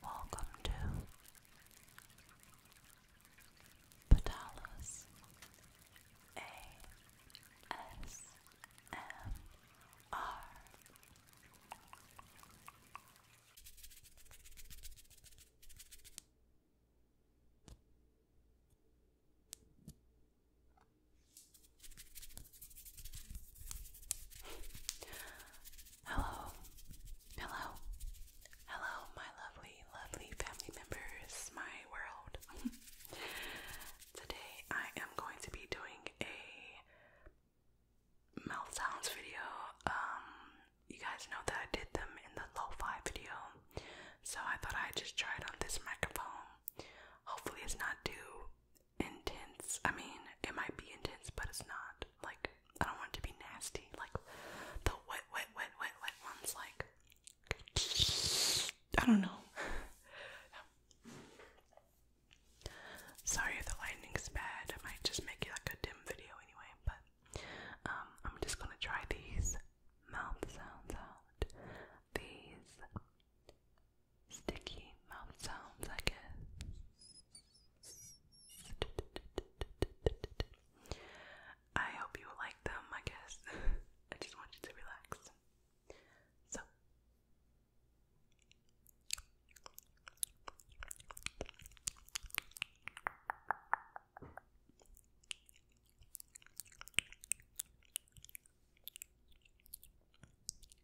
Welcome to Patalas ASMR. Hello, hello, hello, my lovely, lovely family members, my world. Today I am going to be doing a mouth sounds video. Um, you guys know that I did them in the lo video, so I thought I'd just try it on this microphone. Hopefully, it's not too intense. I mean, it might be intense, but it's not. Like, I don't want it to be nasty. Like, the wet, wet, wet, wet, wet ones, like, I don't know. Sorry if the lighting's bad. I might just make it like a dim video anyway, but um, I'm just gonna try these mouth sounds out. These sticky mouth sounds, I guess. I hope you like them, I guess. I just want you to relax. So.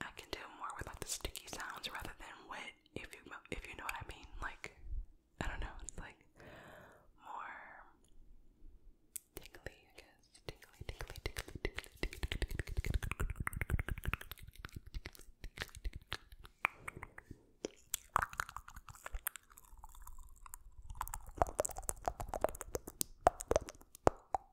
I can do more with like the sticky sounds rather than wet. If you if you know what I mean, like I don't know, it's like more tingly, I guess. Tingly, tingly, tingly, tingly, tingly, tingly, tingly, tingly.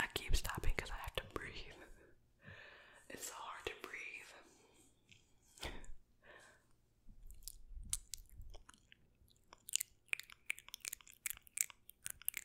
I keep stopping because I have to breathe. It's so hard to breathe.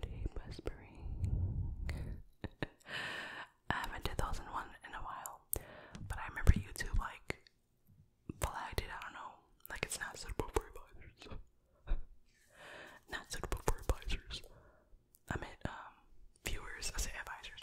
Deep whispering. I haven't did those in one in a while, but I remember YouTube like flagged it. I don't know, like it's not suitable for advisors. not suitable for advisors. I meant um, viewers. I say advisors.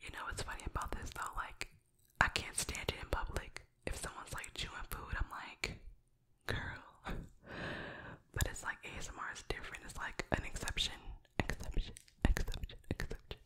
You know what's funny about this though? Like, I can't stand it in public. If someone's like chewing food, I'm like, girl. but it's like ASMR is different. It's like an exception, exception, exception, exception.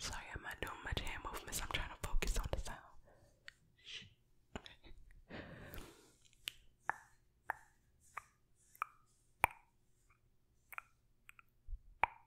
Sorry, I'm not doing much hand movements. I'm trying to focus on the sound.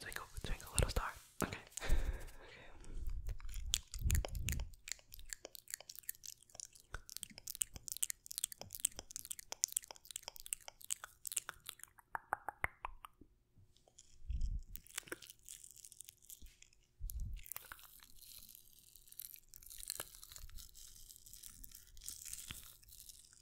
Twinkle, twinkle, little star. Okay.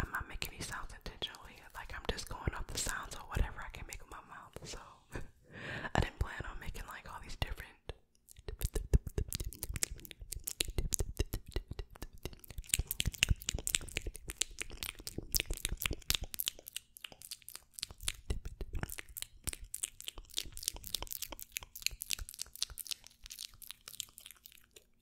I'm not making these sounds intentionally. Like I'm just going off the sounds or whatever I can make with my mouth. So I didn't plan on making like all these different.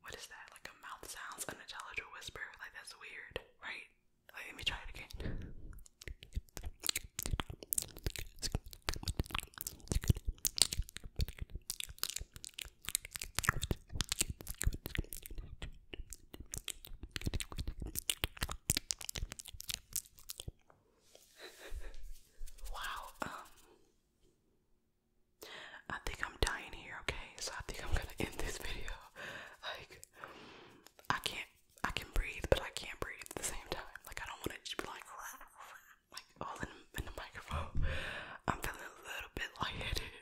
What is that? Like a mouth sounds, unintelligible whisper? Like that's weird, right? let me try it again. wow, um, I think I'm dying here, okay? So I think I'm gonna end this video. Like I can't I can breathe, but I can't breathe at the same time. Like I don't want it to be like like all in, the microphone. I'm feeling a little bit lightheaded,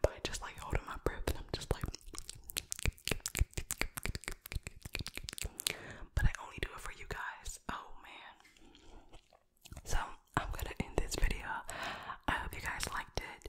but I just like holding my breath and I'm just like but I only do it for you guys. Oh man. So I'm gonna end this video. I hope you guys liked it.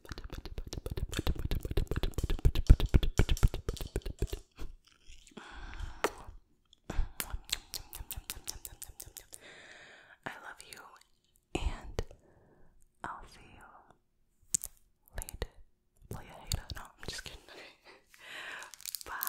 I love you, and I'll see you later. No, I'm just kidding. Bye.